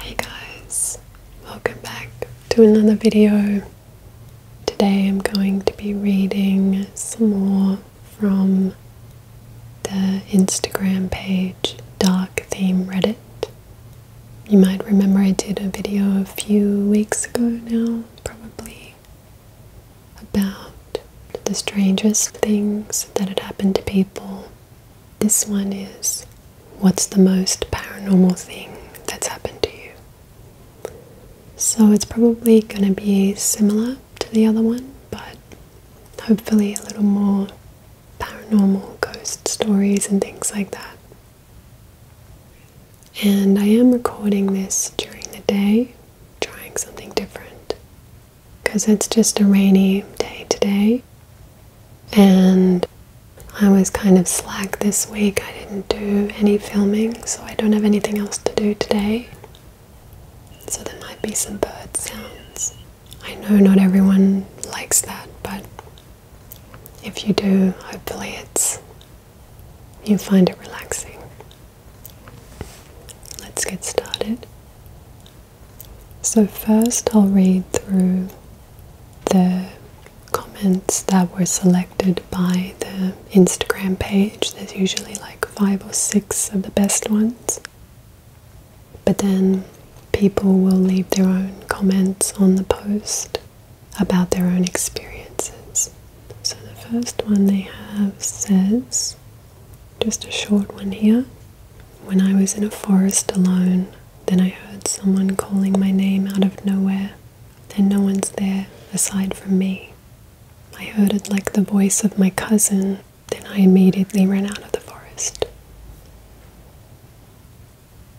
Hey guys, welcome back to another video. Today I'm going to be reading some more from the Instagram page Dark Theme Reddit. You might remember I did a video a few weeks ago now, probably, about the strangest things that had happened to people this one is what's the most paranormal thing that's happened to you? So it's probably going to be similar to the other one, but hopefully a little more paranormal ghost stories and things like that. And I am recording this during the day, trying something different because it's just a rainy day today and I was kind of slack this week. I didn't do any filming, so I don't have anything else to do today. So there might be some bird sounds. I know not everyone likes that, but if you do, hopefully it's you find it relaxing. Let's get started. So, first, I'll read through the comments that were selected by the Instagram page. There's usually like five or six of the best ones, but then people will leave their own comments on the post about their own experiences. So, the first one they have says, just a short one here. When I was in a forest alone, then I heard someone calling my name out of nowhere, and no one's there aside from me. I heard it like the voice of my cousin, then I immediately ran out of the forest.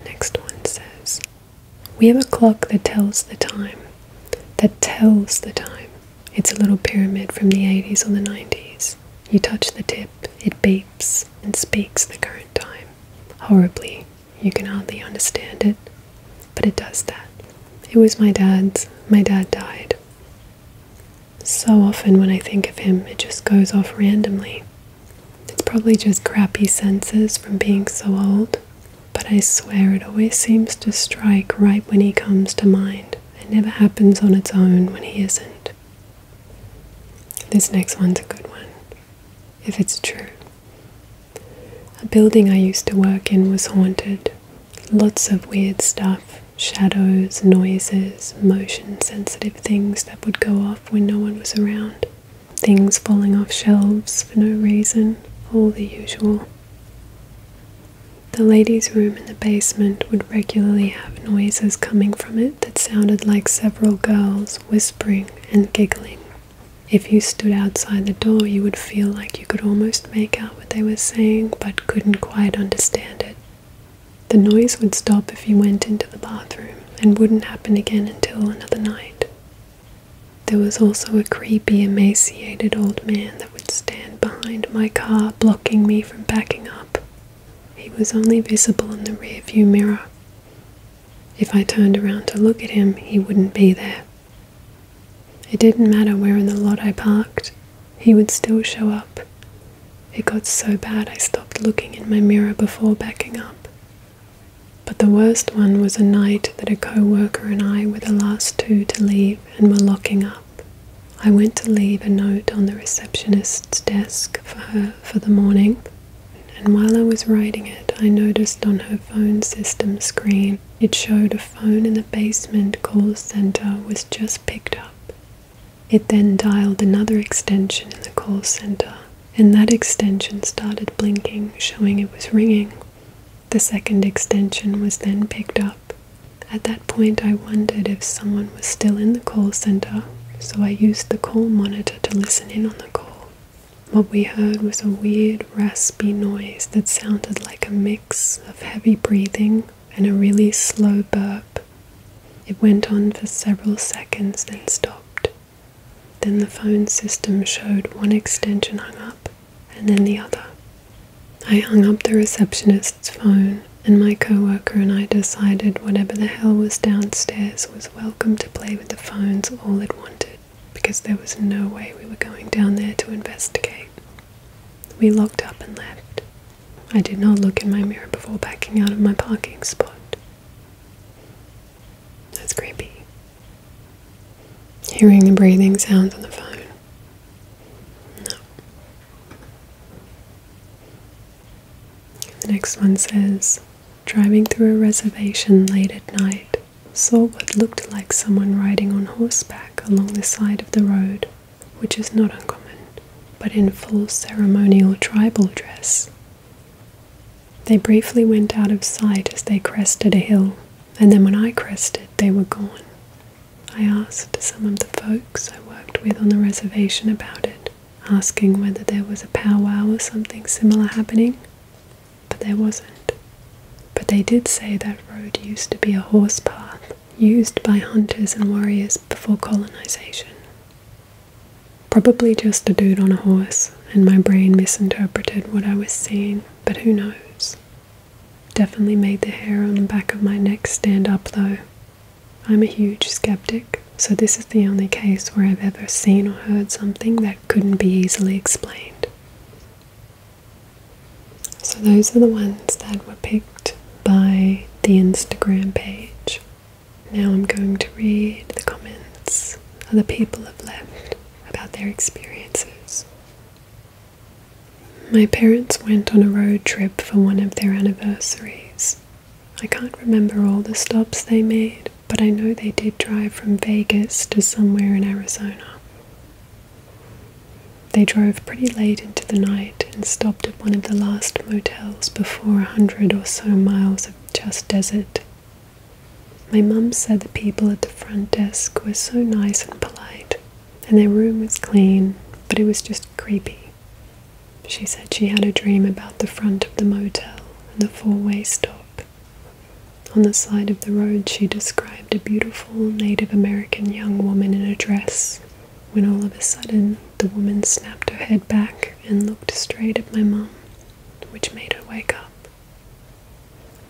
Next one says, We have a clock that tells the time. That tells the time. It's a little pyramid from the 80s or the 90s. You touch the tip, it beeps and speaks the current time. Horribly. You can hardly understand it, but it does that. It was my dad's. My dad died. So often when I think of him, it just goes off randomly. It's probably just crappy senses from being so old, but I swear it always seems to strike right when he comes to mind. It never happens on its own when he isn't. This next one's a good one, if it's true. A building I used to work in was haunted. Lots of weird stuff shadows, noises, motion sensitive things that would go off when no one was around, things falling off shelves for no reason, all the usual. The ladies' room in the basement would regularly have noises coming from it that sounded like several girls whispering and giggling. If you stood outside the door, you would feel like you could almost make out what they were saying but couldn't quite understand it. The noise would stop if you went into the bathroom and wouldn't happen again until another night. There was also a creepy, emaciated old man that would stand behind my car, blocking me from backing up he was only visible in the rearview mirror. If I turned around to look at him, he wouldn't be there. It didn't matter where in the lot I parked, he would still show up. It got so bad I stopped looking in my mirror before backing up. But the worst one was a night that a co worker and I were the last two to leave and were locking up. I went to leave a note on the receptionist's desk for her for the morning. And while I was writing it, I noticed on her phone system screen it showed a phone in the basement call center was just picked up. It then dialed another extension in the call center, and that extension started blinking, showing it was ringing. The second extension was then picked up. At that point, I wondered if someone was still in the call center so I used the call monitor to listen in on the call. What we heard was a weird, raspy noise that sounded like a mix of heavy breathing and a really slow burp. It went on for several seconds, then stopped. Then the phone system showed one extension hung up and then the other. I hung up the receptionist's phone and my co worker and I decided whatever the hell was downstairs was welcome to play with the phones all it wanted because there was no way we were going down there to investigate. We locked up and left. I did not look in my mirror before backing out of my parking spot. That's creepy. Hearing the breathing sounds on the phone. No. The next one says, driving through a reservation late at night, saw what looked like someone riding on horseback along the side of the road, which is not uncommon, but in full ceremonial tribal dress. They briefly went out of sight as they crested a hill, and then when I crested, they were gone. I asked some of the folks I worked with on the reservation about it, asking whether there was a powwow or something similar happening, but there wasn't. But they did say that road used to be a horse path used by hunters and warriors before colonization. Probably just a dude on a horse, and my brain misinterpreted what I was seeing, but who knows? Definitely made the hair on the back of my neck stand up though, I'm a huge skeptic, so this is the only case where I've ever seen or heard something that couldn't be easily explained. So, those are the ones that were picked by the Instagram page. Now, I'm going to read the comments other people have left about their experiences. My parents went on a road trip for one of their anniversaries. I can't remember all the stops they made, but I know they did drive from Vegas to somewhere in Arizona. They drove pretty late into the night and stopped at one of the last motels before a hundred or so miles of just desert. My mum said the people at the front desk were so nice and polite, and their room was clean, but it was just Creepy. She said she had a dream about the front of the motel and the four way stop. On the side of the road, she described a beautiful Native American young woman in a dress. When all of a sudden, the woman snapped her head back and looked straight at my mum, which made her wake up.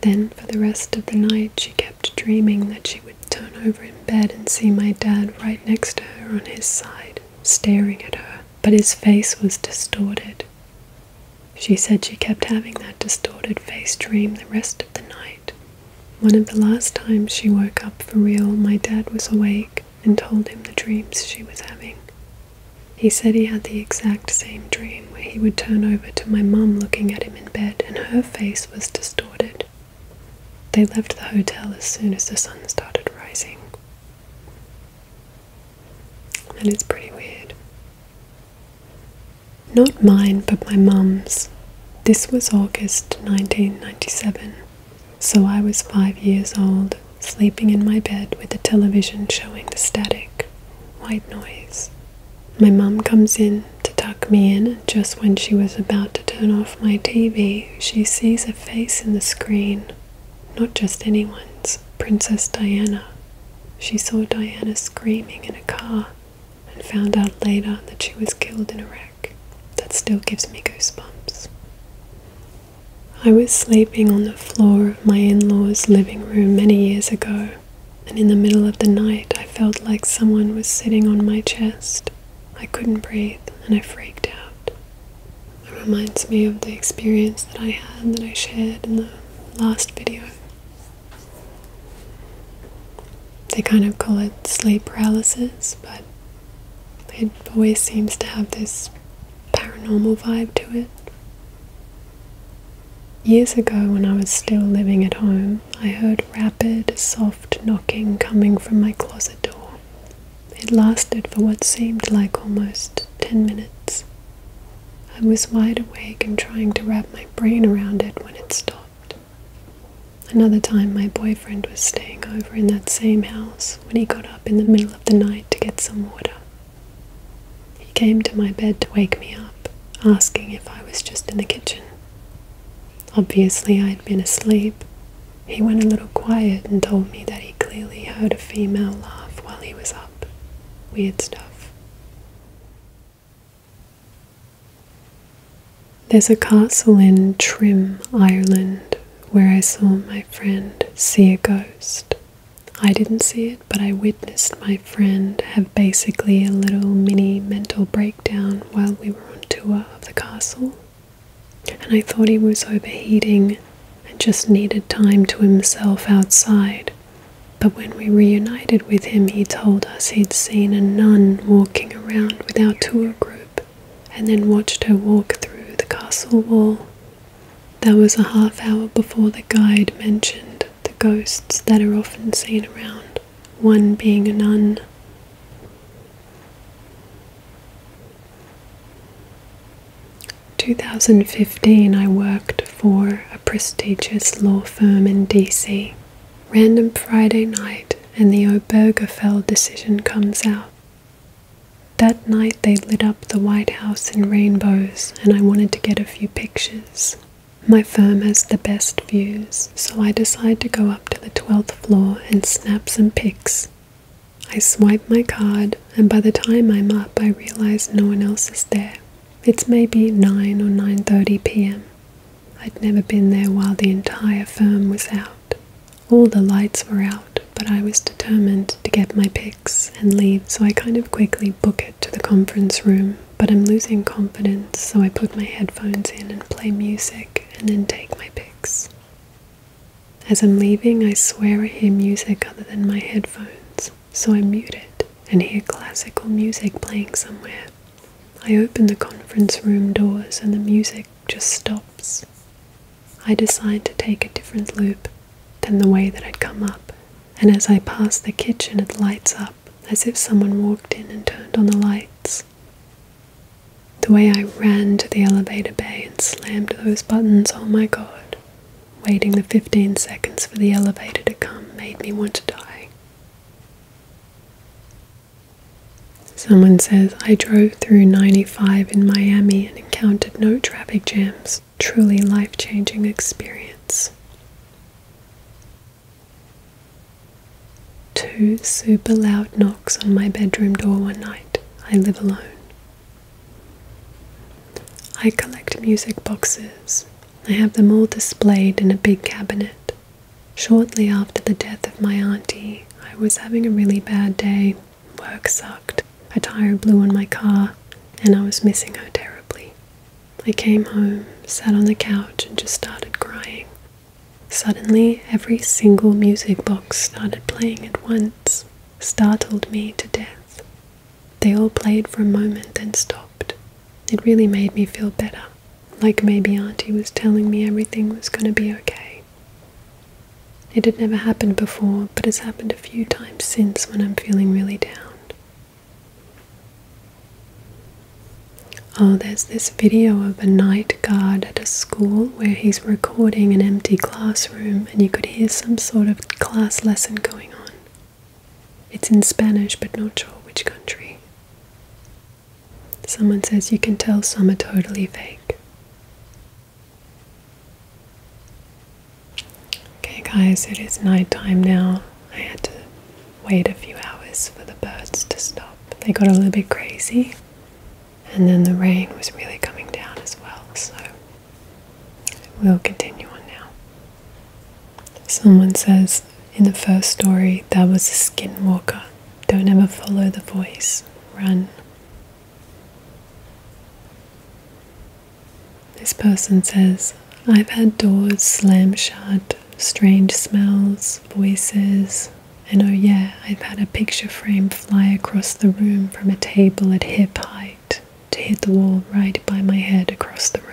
Then, for the rest of the night, she kept dreaming that she would turn over in bed and see my dad right next to her on his side, staring at her but his face was distorted. She said she kept having that distorted face dream the rest of the night. One of the last times she woke up for real, my dad was awake and told him the dreams she was having. He said he had the exact same dream where he would turn over to my mum looking at him in bed and her face was distorted. They left the hotel as soon as the sun started rising. And it's pretty weird. Not mine, but my mum's. This was August 1997, so I was five years old, sleeping in my bed with the television showing the static, white noise. My mum comes in to tuck me in, and just when she was about to turn off my TV, she sees a face in the screen. Not just anyone's, Princess Diana. She saw Diana screaming in a car and found out later that she was killed in a wreck. That still gives me goosebumps. I was sleeping on the floor of my in law's living room many years ago, and in the middle of the night I felt like someone was sitting on my chest. I couldn't breathe and I freaked out. It reminds me of the experience that I had that I shared in the last video. They kind of call it sleep paralysis, but it always seems to have this paranormal vibe to it. Years ago, when I was still living at home, I heard rapid, soft knocking coming from my closet door. It lasted for what seemed like almost ten minutes. I was wide awake and trying to wrap my brain around it when it stopped. Another time, my boyfriend was staying over in that same house when he got up in the middle of the night to get some water. He came to my bed to wake me up, asking if I was just in the kitchen. Obviously, I had been asleep he went a little quiet and told me that he clearly heard a female laugh while he was up. Weird stuff. There's a castle in Trim, Ireland, where I saw my friend see a ghost. I didn't see it, but I witnessed my friend have basically a little mini mental breakdown while we were on tour of the castle and I thought he was overheating and just needed time to himself outside. But when we reunited with him, he told us he'd seen a nun walking around with our tour group and then watched her walk through the castle wall. That was a half hour before the guide mentioned the ghosts that are often seen around, one being a nun. 2015 I worked for a prestigious law firm in DC. Random Friday night and the Obergefell decision comes out. That night they lit up the White House in rainbows and I wanted to get a few pictures. My firm has the best views, so I decide to go up to the 12th floor and snap some pics I swipe my card, and by the time I'm up, I realize no one else is there. It's maybe 9 or 9:30 p.m. I'd never been there while the entire firm was out. All the lights were out, but I was determined to get my pics and leave, so I kind of quickly book it to the conference room. But I'm losing confidence, so I put my headphones in and play music and then take my pics. As I'm leaving, I swear I hear music other than my headphones, so I mute it and hear classical music playing somewhere. I open the conference room doors and the music just stops. I decide to take a different loop than the way that I'd come up, and as I pass the kitchen, it lights up as if someone walked in and turned on the lights. The way I ran to the elevator bay and slammed those buttons, oh my god. Waiting the 15 seconds for the elevator to come made me want to die. Someone says, I drove through 95 in Miami and encountered no traffic jams. Truly life changing experience. Two super loud knocks on my bedroom door one night. I live alone. I collect music boxes. I have them all displayed in a big cabinet. Shortly after the death of my auntie, I was having a really bad day. Work sucked, a tire blew on my car, and I was missing her terribly. I came home, sat on the couch, and just started crying. Suddenly, every single music box started playing at once startled me to death. They all played for a moment, then stopped. It really made me feel better, like maybe Auntie was telling me everything was going to be okay. It had never happened before, but it's happened a few times since when I'm feeling really down. Oh, there's this video of a night guard at a school where he's recording an empty classroom and you could hear some sort of class lesson going on. It's in Spanish, but not sure which country. Someone says you can tell some are totally fake. Okay, guys, it is nighttime now. I had to wait a few hours for the birds to stop. They got a little bit crazy and then the rain was really coming down as well, so we'll continue on now. Someone says in the first story, that was a skinwalker. Don't ever follow the voice, run. This person says, I've had doors slam shut, strange smells, voices, and oh, yeah, I've had a picture frame fly across the room from a table at hip height to hit the wall right by my head across the room.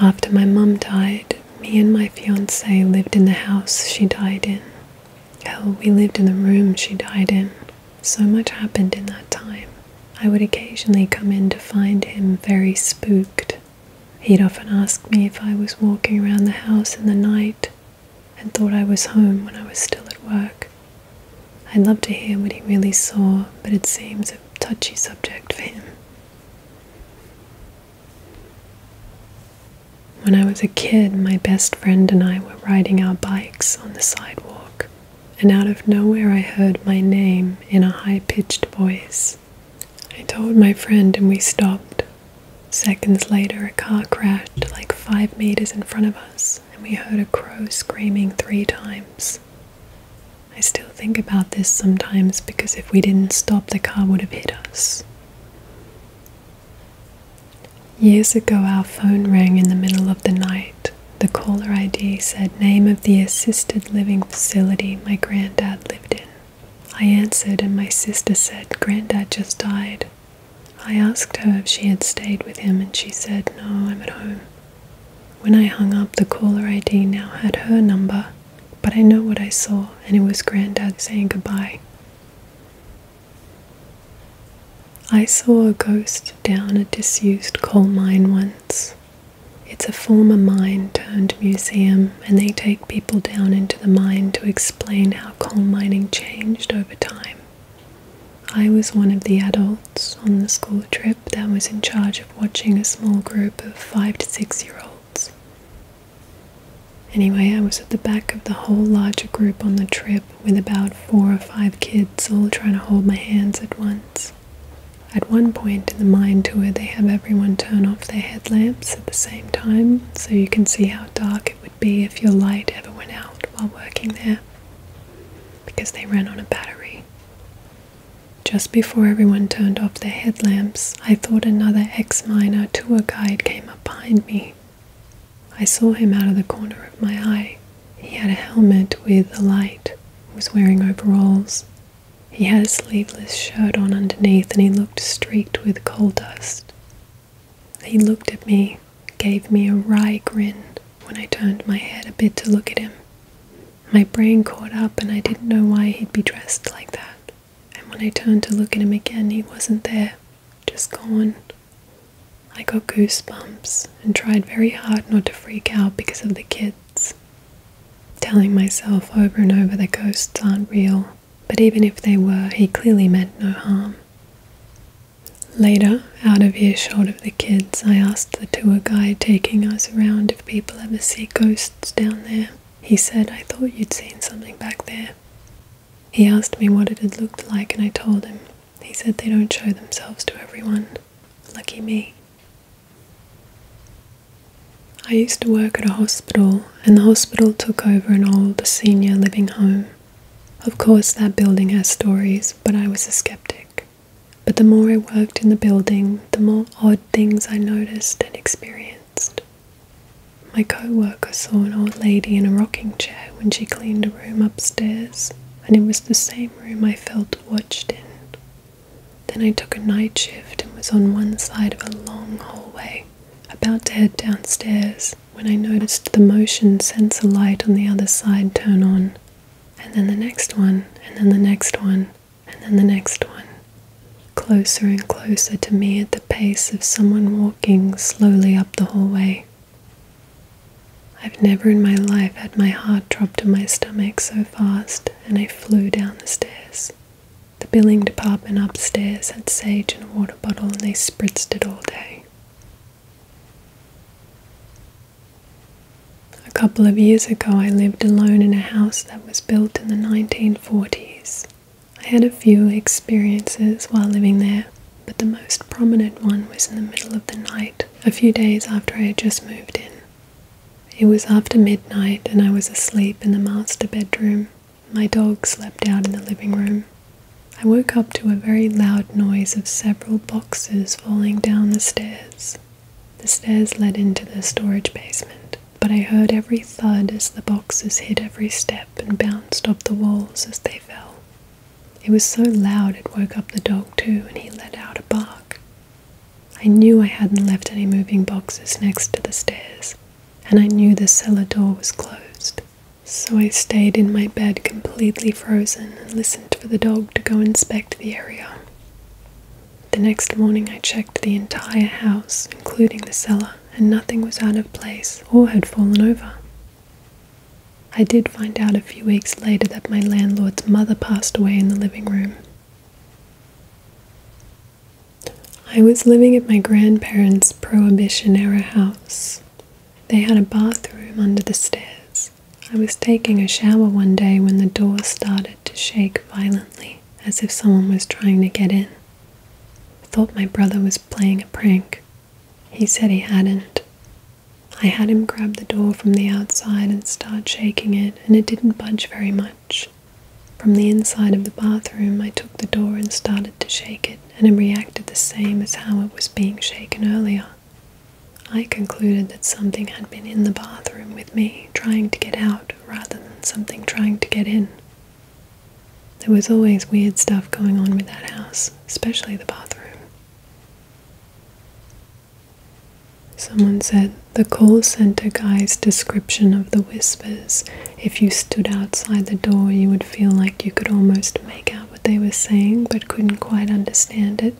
After my mum died, me and my fiance lived in the house she died in. Hell, we lived in the room she died in. So much happened in that time. I would occasionally come in to find him very spooked. He'd often ask me if I was walking around the house in the night and thought I was home when I was still at work. I'd love to hear what he really saw, but it seems a touchy subject for him. When I was a kid, my best friend and I were riding our bikes on the sidewalk, and out of nowhere I heard my name in a high pitched voice. I told my friend, and we stopped, Seconds later, a car crashed like five meters in front of us, and we heard a crow screaming three times. I still think about this sometimes because if we didn't stop, the car would have hit us. Years ago, our phone rang in the middle of the night. The caller ID said, Name of the assisted living facility my granddad lived in. I answered, and my sister said, Granddad just died. I asked her if she had stayed with him, and she said, No, I'm at home. When I hung up, the caller ID now had her number, but I know what I saw, and it was Granddad saying goodbye. I saw a ghost down a disused coal mine once. It's a former mine turned museum, and they take people down into the mine to explain how coal mining changed over time. I was one of the adults on the school trip that was in charge of watching a small group of five to six year olds. Anyway, I was at the back of the whole larger group on the trip with about four or five kids all trying to hold my hands at once. At one point in the mine tour, they have everyone turn off their headlamps at the same time so you can see how dark it would be if your light ever went out while working there because they ran on a battery. Just before everyone turned off their headlamps, I thought another X-minor tour guide came up behind me. I saw him out of the corner of my eye. He had a helmet with a light, was wearing overalls. He had a sleeveless shirt on underneath and he looked streaked with coal dust. He looked at me, gave me a wry grin when I turned my head a bit to look at him. My brain caught up and I didn't know why he'd be dressed like that. And when I turned to look at him again, he wasn't there, just gone. I got goosebumps and tried very hard not to freak out because of the kids. Telling myself over and over that ghosts aren't real but even if they were, he clearly meant no harm. Later, out of earshot of the kids, I asked the tour guide taking us around if people ever see ghosts down there. He said, I thought you'd seen something back there. He asked me what it had looked like, and I told him. He said they don't show themselves to everyone. Lucky me. I used to work at a hospital and the hospital took over an old senior living home. Of course, that building has stories, but I was a skeptic. But the more I worked in the building, the more odd things I noticed and experienced. My co worker saw an old lady in a rocking chair when she cleaned a room upstairs, and it was the same room I felt watched in. Then I took a night shift and was on one side of a long hallway. About to head downstairs when I noticed the motion sensor light on the other side turn on, and then the next one, and then the next one, and then the next one. Closer and closer to me at the pace of someone walking slowly up the hallway. I've never in my life had my heart drop to my stomach so fast, and I flew down the stairs. The billing department upstairs had sage in a water bottle and they spritzed it all day. A couple of years ago, I lived alone in a house that was built in the 1940s. I had a few experiences while living there, but the most prominent one was in the middle of the night, a few days after I had just moved in. It was after midnight, and I was asleep in the master bedroom my dog slept out in the living room. I woke up to a very loud noise of several boxes falling down the stairs. The stairs led into the storage basement, but I heard every thud as the boxes hit every step and bounced off the walls as they fell. It was so loud it woke up the dog too, and he let out a bark. I knew I hadn't left any moving boxes next to the stairs, and I knew the cellar door was closed. So I stayed in my bed completely frozen and listened for the dog to go inspect the area. The next morning I checked the entire house, including the cellar, and nothing was out of place or had fallen over. I did find out a few weeks later that my landlord's mother passed away in the living room. I was living at my grandparents' Prohibition era house. They had a bathroom under the stairs. I was taking a shower one day when the door started to shake violently, as if someone was trying to get in. I thought my brother was playing a prank. He said he hadn't. I had him grab the door from the outside and start shaking it, and it didn't budge very much. From the inside of the bathroom, I took the door and started to shake it, and it reacted the same as how it was being shaken earlier. I concluded that something had been in the bathroom with me, trying to get out rather than something trying to get in. There was always weird stuff going on with that house, especially the bathroom. Someone said the call center guy's description of the whispers. If you stood outside the door, you would feel like you could almost make out what they were saying but couldn't quite understand it.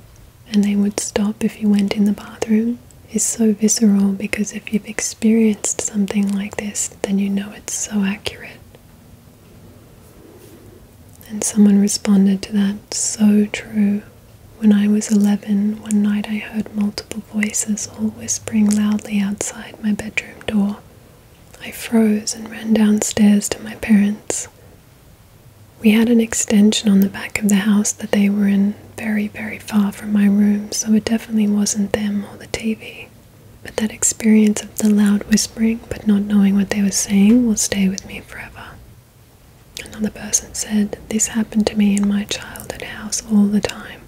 And they would stop if you went in the bathroom. It's so visceral because if you've experienced something like this, then you know it's so accurate. And someone responded to that, so true. When I was eleven, one night I heard multiple voices all whispering loudly outside my bedroom door. I froze and ran downstairs to my parents. We had an extension on the back of the house that they were in, very, very far from my room, so it definitely wasn't them or the TV. But that experience of the loud whispering but not knowing what they were saying will stay with me forever. Another person said, This happened to me in my childhood house all the time.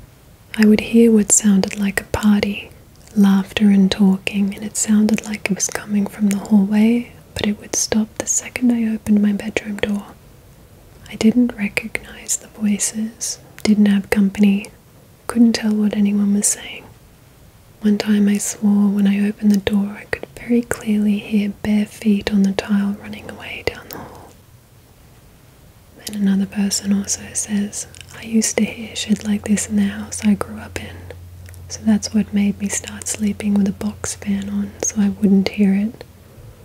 I would hear what sounded like a party, laughter and talking, and it sounded like it was coming from the hallway, but it would stop the second I opened my bedroom door. I didn't recognize the voices, didn't have company, couldn't tell what anyone was saying. One time I swore when I opened the door, I could very clearly hear bare feet on the tile running away down the hall. And another person also says, I used to hear shit like this in the house I grew up in. So that's what made me start sleeping with a box fan on so I wouldn't hear it.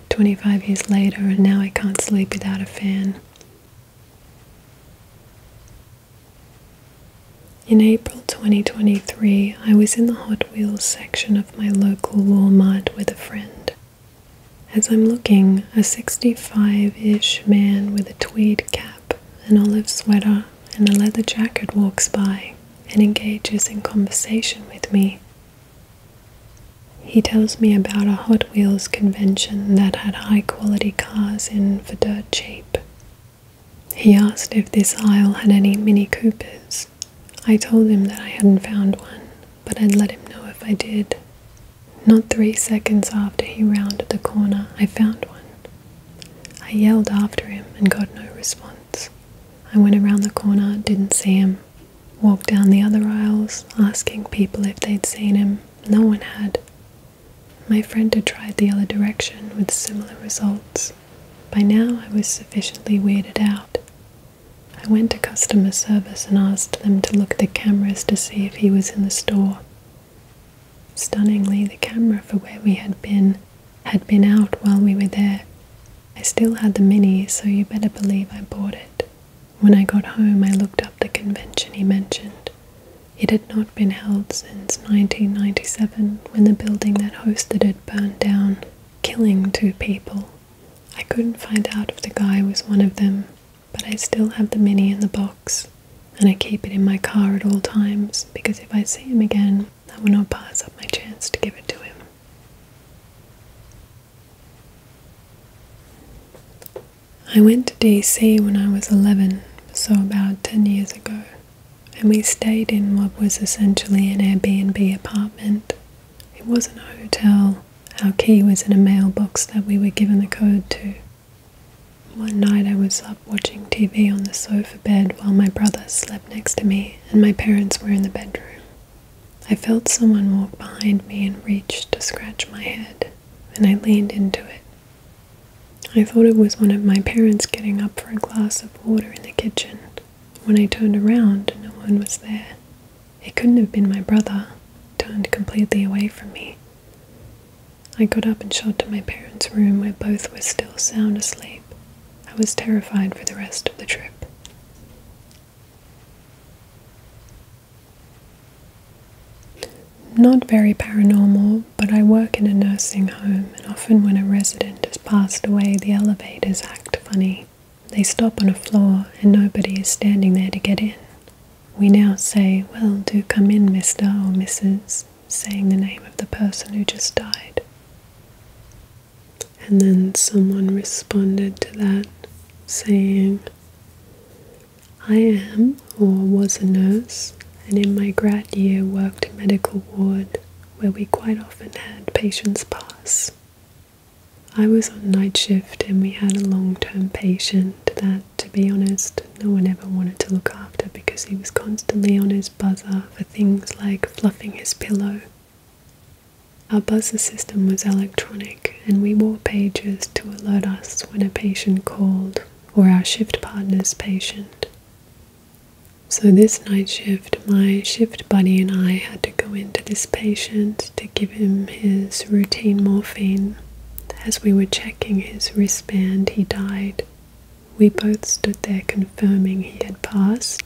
25 years later, and now I can't sleep without a fan. In April 2023, I was in the Hot Wheels section of my local Walmart with a friend. As I'm looking, a 65 ish man with a tweed cap, an olive sweater, and a leather jacket walks by and engages in conversation with me. He tells me about a Hot Wheels convention that had high quality cars in for dirt cheap. He asked if this aisle had any Mini Coopers. I told him that I hadn't found one, but I'd let him know if I did, not three seconds after he rounded the corner, I found one. I yelled after him and got no response. I went around the corner, didn't see him. Walked down the other aisles, asking people if they'd seen him. No one had. My friend had tried the other direction with similar results. By now, I was sufficiently weeded out. I went to customer service and asked them to look at the cameras to see if he was in the store. Stunningly, the camera for where we had been had been out while we were there. I still had the Mini, so you better believe I bought it. When I got home, I looked up the convention he mentioned. It had not been held since 1997 when the building that hosted it burned down, killing two people. I couldn't find out if the guy was one of them, but I still have the mini in the box and I keep it in my car at all times because if I see him again, I will not pass up my chance to give it to him. I went to DC when I was 11, so about 10 years ago, and we stayed in what was essentially an Airbnb apartment. It wasn't a hotel, our key was in a mailbox that we were given the code to. One night I was up watching TV on the sofa bed while my brother slept next to me and my parents were in the bedroom. I felt someone walk behind me and reach to scratch my head, and I leaned into it. I thought it was one of my parents getting up for a glass of water in the kitchen. When I turned around, no one was there. It couldn't have been my brother, turned completely away from me. I got up and shot to my parents' room where both were still sound asleep. I was terrified for the rest of the trip. Not very paranormal, but I work in a nursing home, and often when a resident has passed away, the elevators act funny. They stop on a floor, and nobody is standing there to get in. We now say, Well, do come in, Mr. or Mrs., saying the name of the person who just died. And then someone responded to that, saying, I am or was a nurse, and in my grad year worked a medical ward where we quite often had patients pass. I was on night shift and we had a long term patient that to be honest, no one ever wanted to look after because he was constantly on his buzzer for things like fluffing his pillow. Our buzzer system was electronic, and we wore pages to alert us when a patient called or our shift partner's patient. So, this night shift, my shift buddy and I had to go into this patient to give him his routine morphine as we were checking his wristband, he died. We both stood there confirming he had passed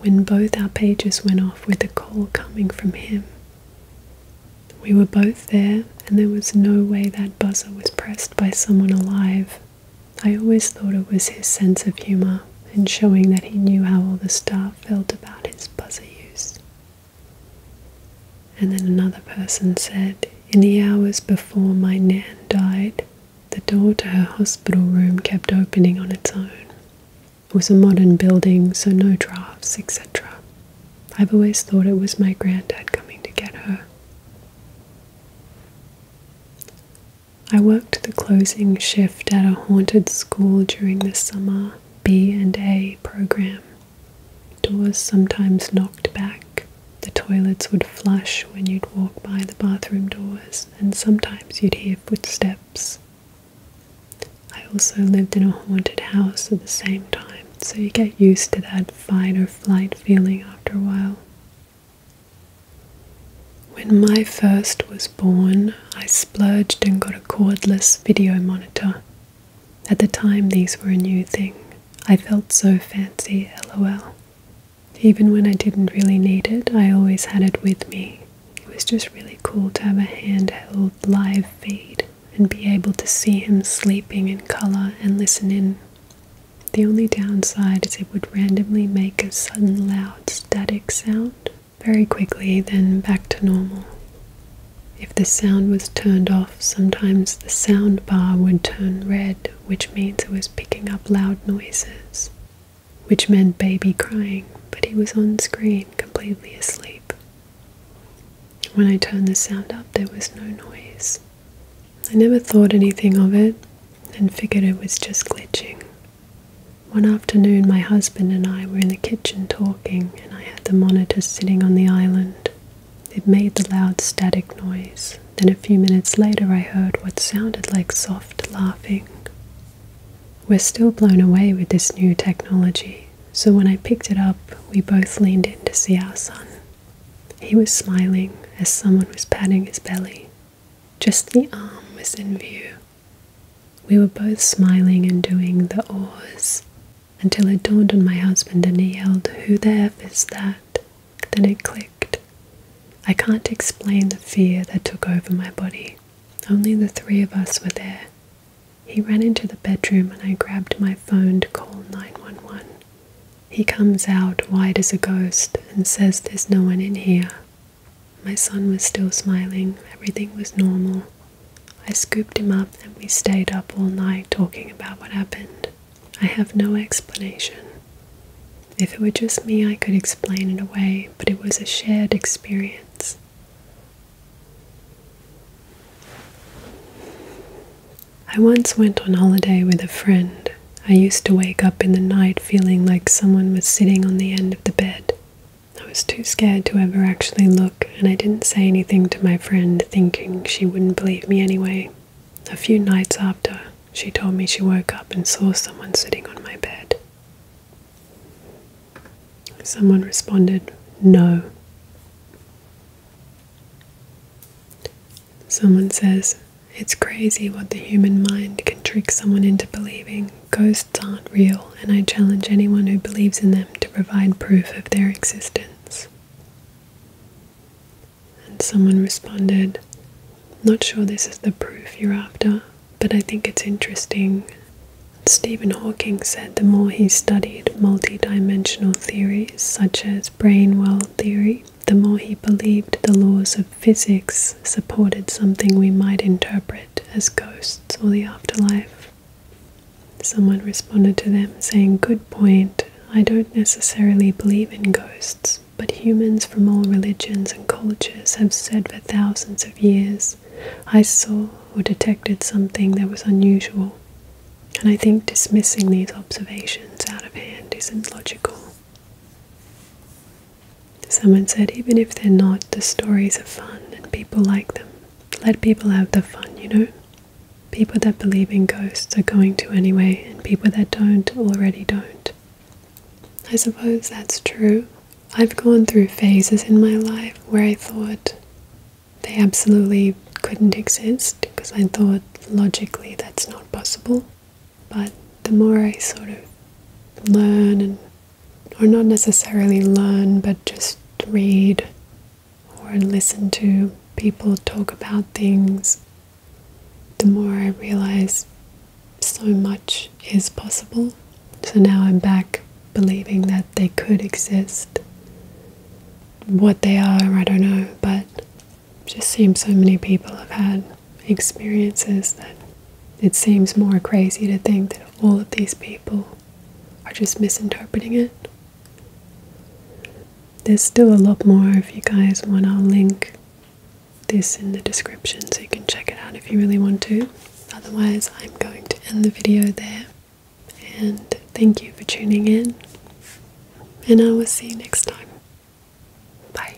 when both our pages went off with a call coming from him. We were both there, and there was no way that buzzer was pressed by someone alive. I always thought it was his sense of humour and showing that he knew how all the staff felt about his buzzer use. And then another person said, In the hours before my Nan died, the door to her hospital room kept opening on its own. It was a modern building, so no drafts, etc. I've always thought it was my granddad coming to get her. I worked the closing shift at a haunted school during the summer B and A program. Doors sometimes knocked back. The toilets would flush when you'd walk by the bathroom doors, and sometimes you'd hear footsteps. I also lived in a haunted house at the same time, so you get used to that fight or flight feeling after a while. When my first was born, I splurged and got a cordless video monitor at the time, these were a new thing. I felt so fancy, lol. Even when I didn't really need it, I always had it with me. It was just really cool to have a handheld live feed and be able to see him sleeping in color and listen in. The only downside is it would randomly make a sudden loud static sound very quickly, then back to normal. If the sound was turned off, sometimes the sound bar would turn red, which means it was picking up loud noises, which meant baby crying, but he was on screen completely asleep. When I turned the sound up, there was no noise. I never thought anything of it and figured it was just glitching. One afternoon, my husband and I were in the kitchen talking, and I had the monitor sitting on the island. It made the loud static noise. Then a few minutes later, I heard what sounded like soft laughing. We're still blown away with this new technology, so when I picked it up, we both leaned in to see our son. He was smiling as someone was patting his belly. Just the arm was in view. We were both smiling and doing the oars until it dawned on my husband and he yelled, Who the F is that? Then it clicked. I can't explain the fear that took over my body. Only the three of us were there. He ran into the bedroom and I grabbed my phone to call 911. He comes out white as a ghost and says there's no one in here. My son was still smiling, everything was normal. I scooped him up and we stayed up all night talking about what happened. I have no explanation. If it were just me, I could explain it away, but it was a shared experience. I once went on holiday with a friend. I used to wake up in the night feeling like someone was sitting on the end of the bed. I was too scared to ever actually look and I didn't say anything to my friend, thinking she wouldn't believe me anyway. A few nights after, she told me she woke up and saw someone sitting on my bed. Someone responded, No. Someone says, It's crazy what the human mind can trick someone into believing. Ghosts aren't real, and I challenge anyone who believes in them to provide proof of their existence. And someone responded, Not sure this is the proof you're after, but I think it's interesting. Stephen Hawking said the more he studied multidimensional theories such as brain world theory, the more he believed the laws of physics supported something we might interpret as ghosts or the afterlife. Someone responded to them saying, Good point. I don't necessarily believe in ghosts, but humans from all religions and cultures have said for thousands of years, I saw or detected something that was unusual. And I think dismissing these observations out of hand isn't logical. Someone said, even if they're not, the stories are fun and people like them. Let people have the fun, you know? People that believe in ghosts are going to anyway, and people that don't already don't. I suppose that's true. I've gone through phases in my life where I thought they absolutely couldn't exist because I thought logically that's not possible. But the more I sort of learn and or not necessarily learn but just read or listen to people talk about things, the more I realize so much is possible. So now I'm back believing that they could exist. What they are, I don't know, but just seems so many people have had experiences that it seems more crazy to think that all of these people are just misinterpreting it. There's still a lot more if you guys want. I'll link this in the description so you can check it out if you really want to. Otherwise, I'm going to end the video there. And thank you for tuning in. And I will see you next time. Bye.